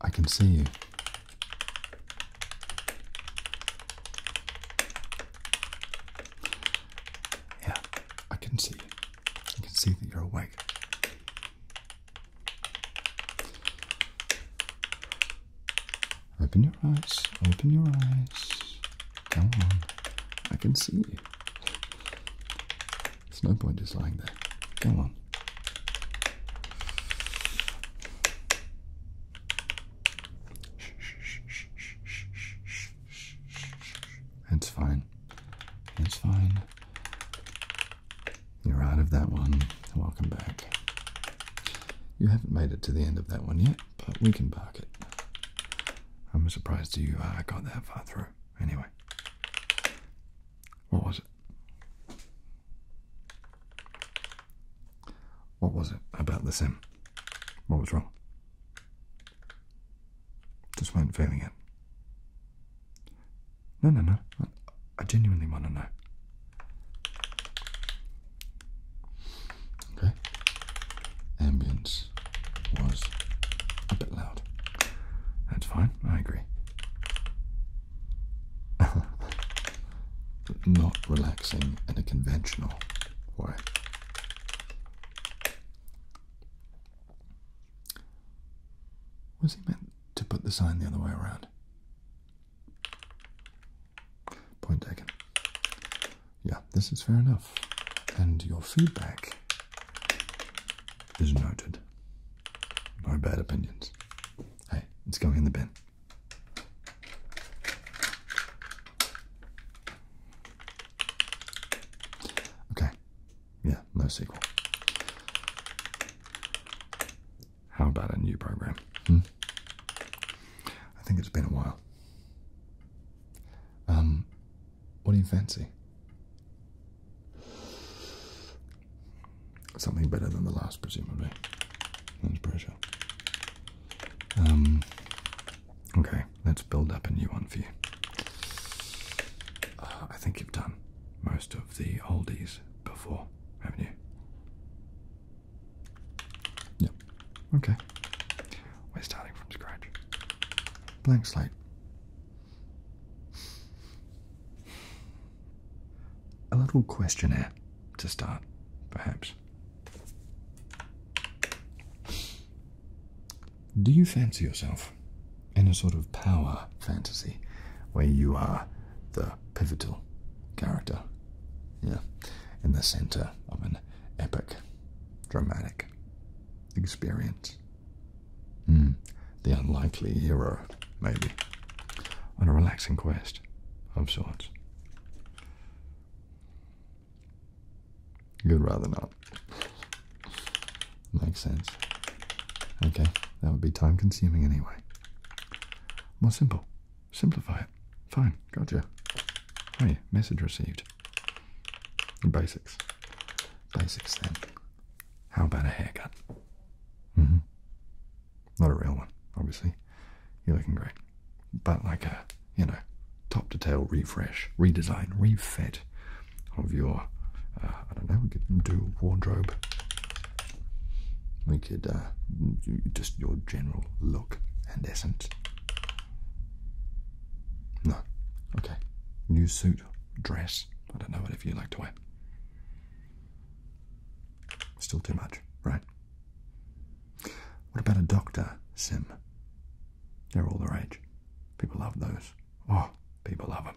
I can see you. Yeah, I can see you. I can see that you're awake. Open your eyes, open your eyes. Come on, I can see you. It's no point just lying there. Come on. It's fine. It's fine. You're out of that one. Welcome back. You haven't made it to the end of that one yet, but we can park it. I'm surprised to you I got that far through. Anyway, what was it? What was it about the sim? What was wrong? Just weren't feeling it. No, no, no. I genuinely want to know. Okay. Ambience was a bit loud. That's fine, I agree. Not relaxing in a conventional way. Was he meant to put the sign the other way around? Point taken. Yeah, this is fair enough. And your feedback is noted. No bad opinions. Hey, it's going in the bin. Okay. Yeah, no sequel. How about a new program? Hmm? I think it's been a while. Um, what do you fancy? Something better than the last, presumably. That's pressure. Um, okay, let's build up a new one for you. Uh, I think you've done most of the oldies before, haven't you? Yep. Okay. We're starting from scratch. Blank slate. A little questionnaire to start, perhaps. Do you fancy yourself in a sort of power fantasy where you are the pivotal character? Yeah, in the center of an epic, dramatic experience. Hmm. The unlikely hero, maybe. On a relaxing quest of sorts. You'd rather not. Makes sense. Okay, that would be time consuming anyway. More simple. Simplify it. Fine, gotcha. Hey, message received. Basics. Basics then. How about a haircut? Mm-hmm. Not a real one, obviously. You're looking great. But like a, you know, top to tail refresh, redesign, refit of your, uh, I don't know, we could do wardrobe. We could uh, just your general look and essence. No. Okay. New suit, dress. I don't know, whatever you like to wear. Still too much, right? What about a doctor sim? They're all the rage. People love those. Oh, people love them.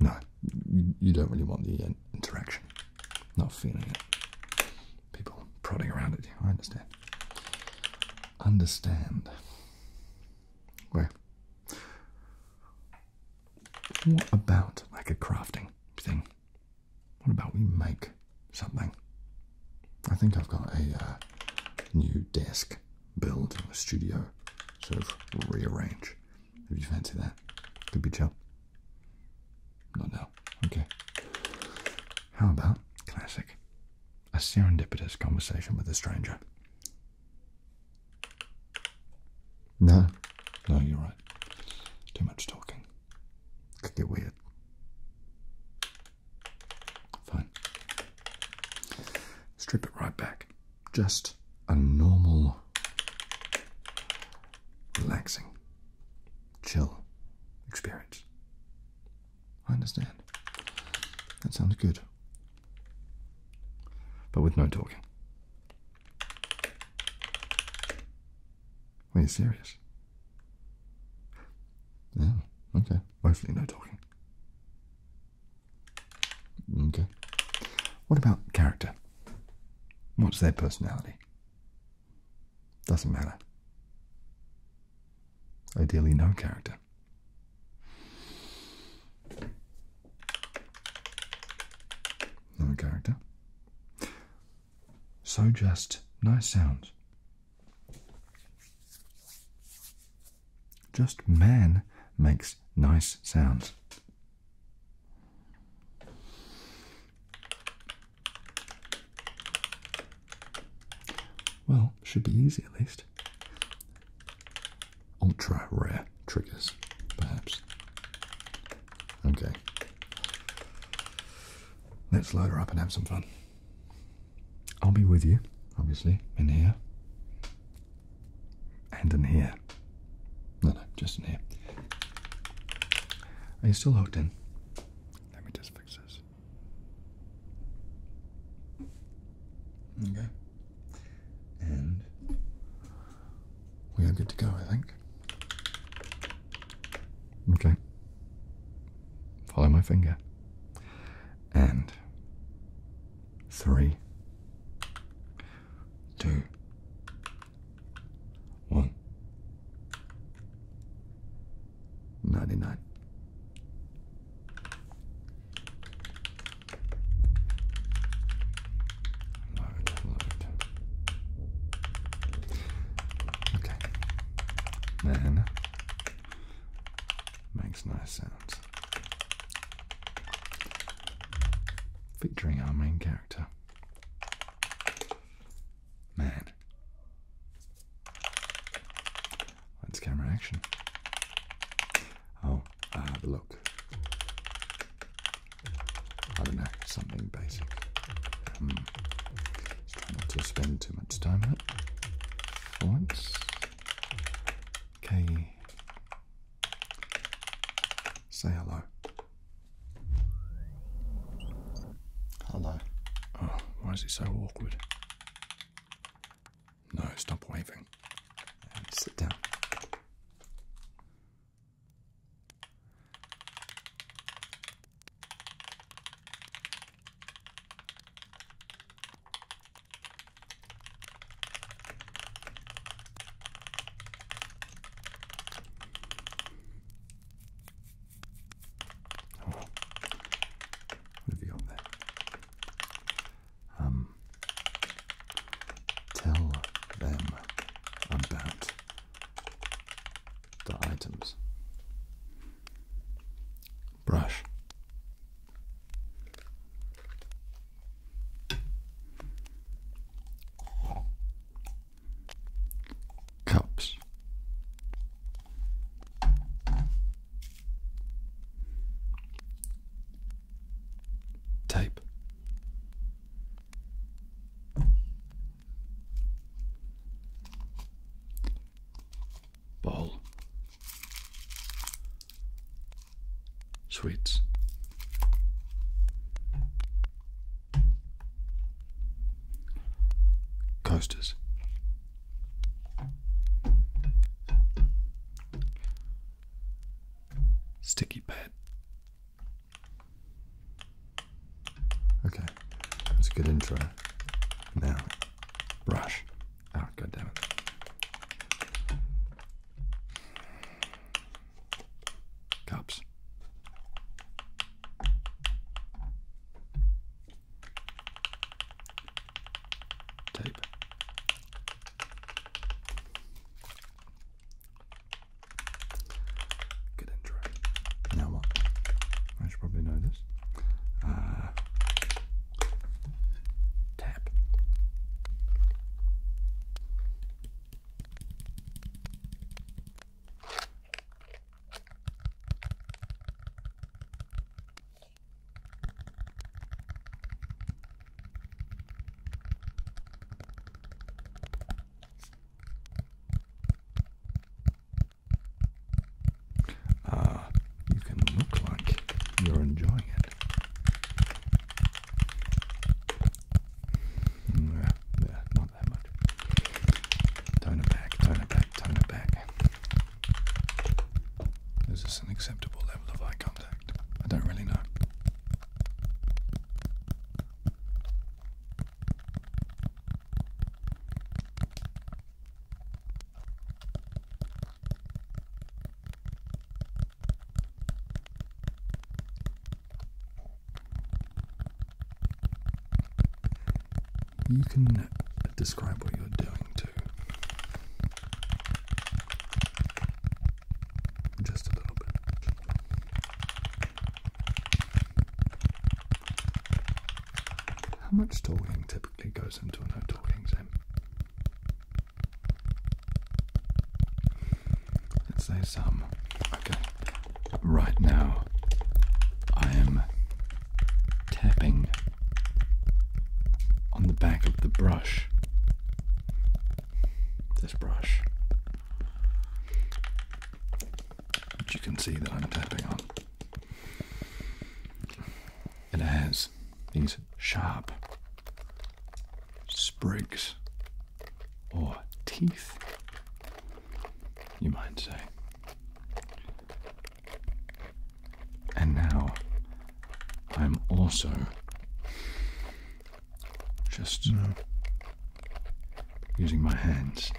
No, you don't really want the uh, interaction. Not feeling it. People prodding around it. I understand understand. Where? what about like a crafting thing? What about we make something? I think I've got a uh, new desk build in the studio, sort of rearrange. If you fancy that, could be chill. Not now. Okay. How about classic a serendipitous conversation with a stranger. No, no, you're right. Too much talking. Could get weird. Fine. Strip it right back. Just a normal, relaxing, chill experience. I understand. That sounds good. But with no talking. Are you serious? Yeah, okay. Hopefully, no talking. Okay. What about character? What's their personality? Doesn't matter. Ideally, no character. No character. So just nice sounds. Just man makes nice sounds. Well, should be easy at least. Ultra rare triggers, perhaps. Okay. Let's load her up and have some fun. I'll be with you, obviously, in here. And in here. No, no, just in here. Are you still hooked in? Let me just fix this. Okay. And we are good to go, I think. Okay. Follow my finger. And three, two, one. 99. Load, load. Okay. Then makes nice sounds. Featuring our main character. Man. Lens camera action. Oh, uh, look. I don't know, something basic. Um, just try not to spend too much time on it. once. Okay. Say hello. Hello. Oh, why is it so awkward? No, stop waving. sit down. Um, tell them about the items. Brush cups. Tape. Bowl. Sweets. Coasters. Sticky pad. Okay, that's a good intro. Now, brush. Oh, ah, God damn it. Cups tape. Good intro. Now what? I should probably know this. Uh, tap. Ah, you can look like you're enjoying it. There, mm, not it back, tone it back, tone it back. Is this an acceptable level of eye contact? I don't really know. You can describe what you're doing too. Just a little bit. How much talking typically goes into a no talking sim? Let's say some. Okay, right now I am tapping on the back of the brush. This brush, which you can see that I'm tapping on. It has these sharp sprigs or teeth, you might say. And now I'm also just using my hands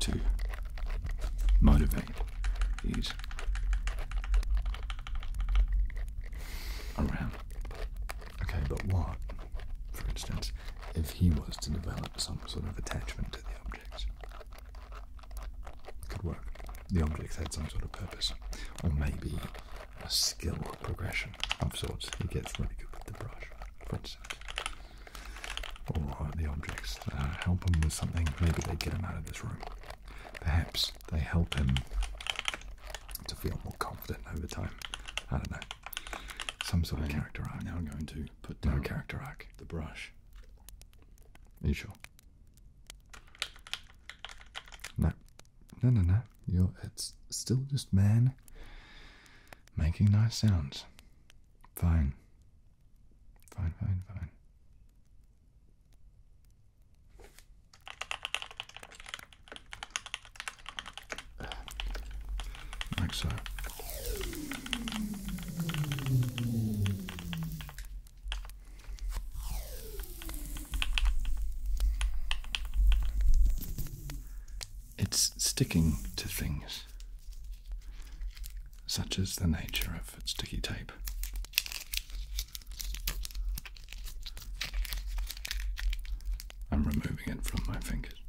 to motivate these around. Okay, but what? for instance, if he was to develop some sort of attachment to the object. Could work. The object had some sort of purpose, or maybe a skill progression of sorts. He gets really good with the brush, for instance. Or the objects uh, help him with something. Maybe they get him out of this room. Perhaps they help him to feel more confident over time. I don't know some sort of character arc. Now I'm going to put down character arc. The brush. Are you sure? No, no, no, no. You're. It's still just man making nice sounds. Fine. Fine, fine, fine. Like so. It's sticking to things, such as the nature of sticky tape. I'm removing it from my fingers.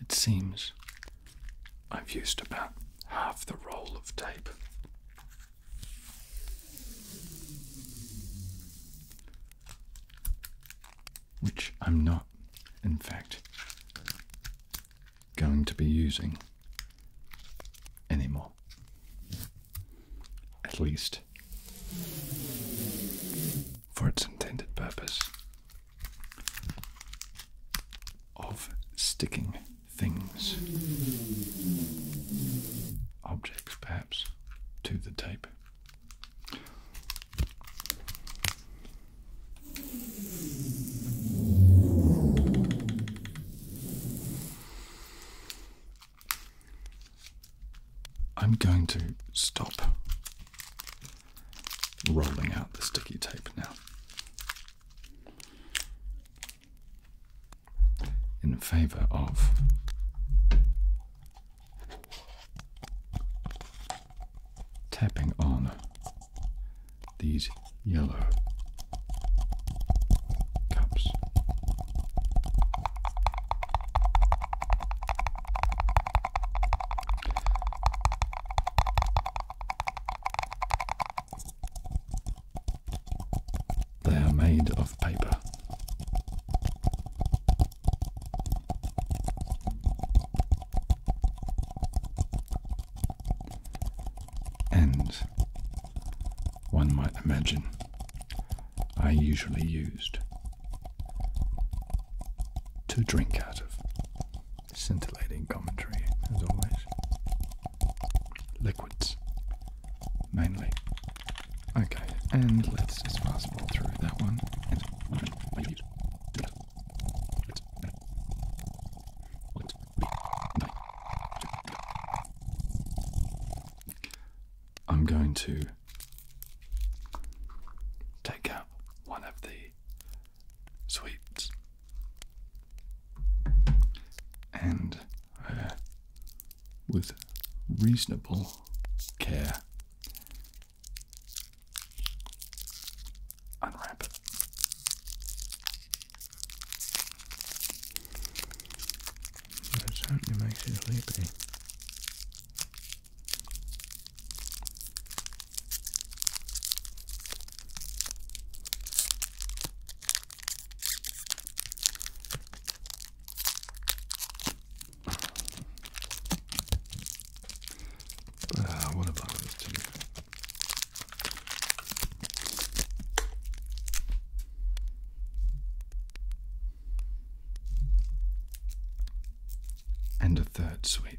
It seems I've used about half the roll of tape. Which I'm not, in fact, going to be using anymore. At least for its intended purpose of sticking things, objects perhaps, to the tape. I'm going to stop rolling out the sticky tape now. In favor of tapping on these yellow cups. They are made of paper. And one might imagine I usually used to drink out of. Scintillating commentary, as always. Liquids, mainly. Okay, and let's just fastball through that one. I'm going to take out one of the sweets. And uh, with reasonable care, unwrap it. That certainly makes you sleepy. Ah, what have this to And a third sweep.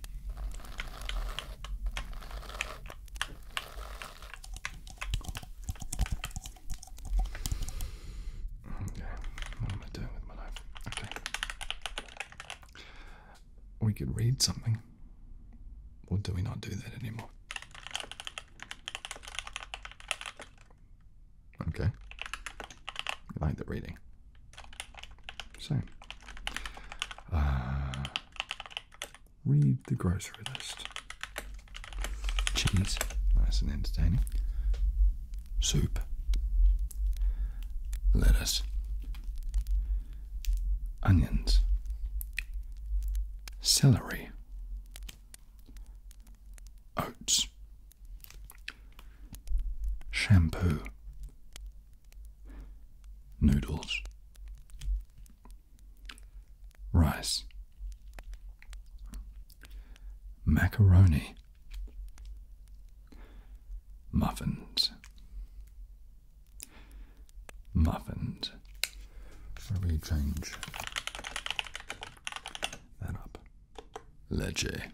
Okay, mm, what am I doing with my knife? Okay. We could read something. Or do we not do that anymore? Okay. I like the reading. So, uh, read the grocery list. Cheese, nice and entertaining. Soup. Lettuce. Onions. Celery. Oats. Shampoo noodles, rice, macaroni, muffins, muffins. Shall we change that up? Leche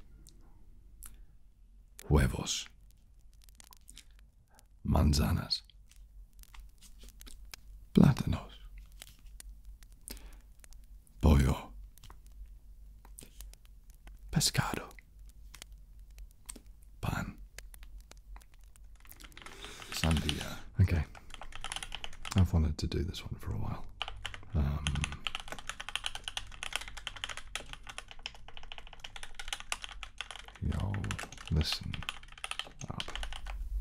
huevos, manzanas, plátanos, pollo, pescado, pan, sandia. Okay, I've wanted to do this one for a while. Um, Y'all listen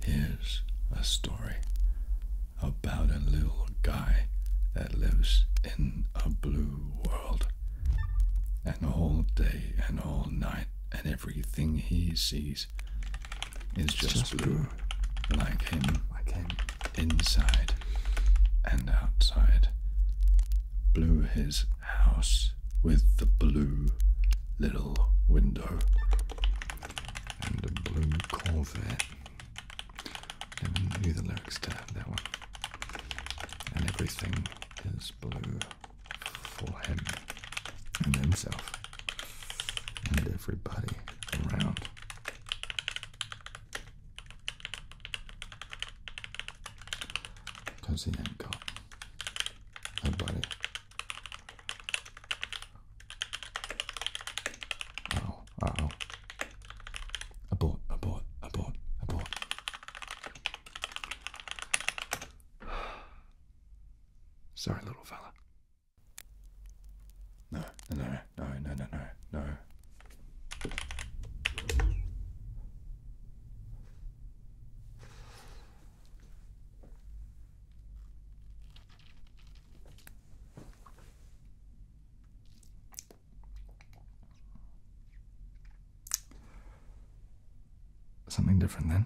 Here's a story about a little guy that lives in a blue world. And all day and all night, and everything he sees is just, blue. blue. Like him. Like him inside and outside, blew his house with the blue little window and a blue Corvette. Never knew the lyrics to that one. And everything is blue for him and himself and everybody around. Because he ain't got nobody. Oh, uh oh. Abort, abort, abort, abort. Sorry, little fella. No, no, no no, no, no, no, no. Something different then.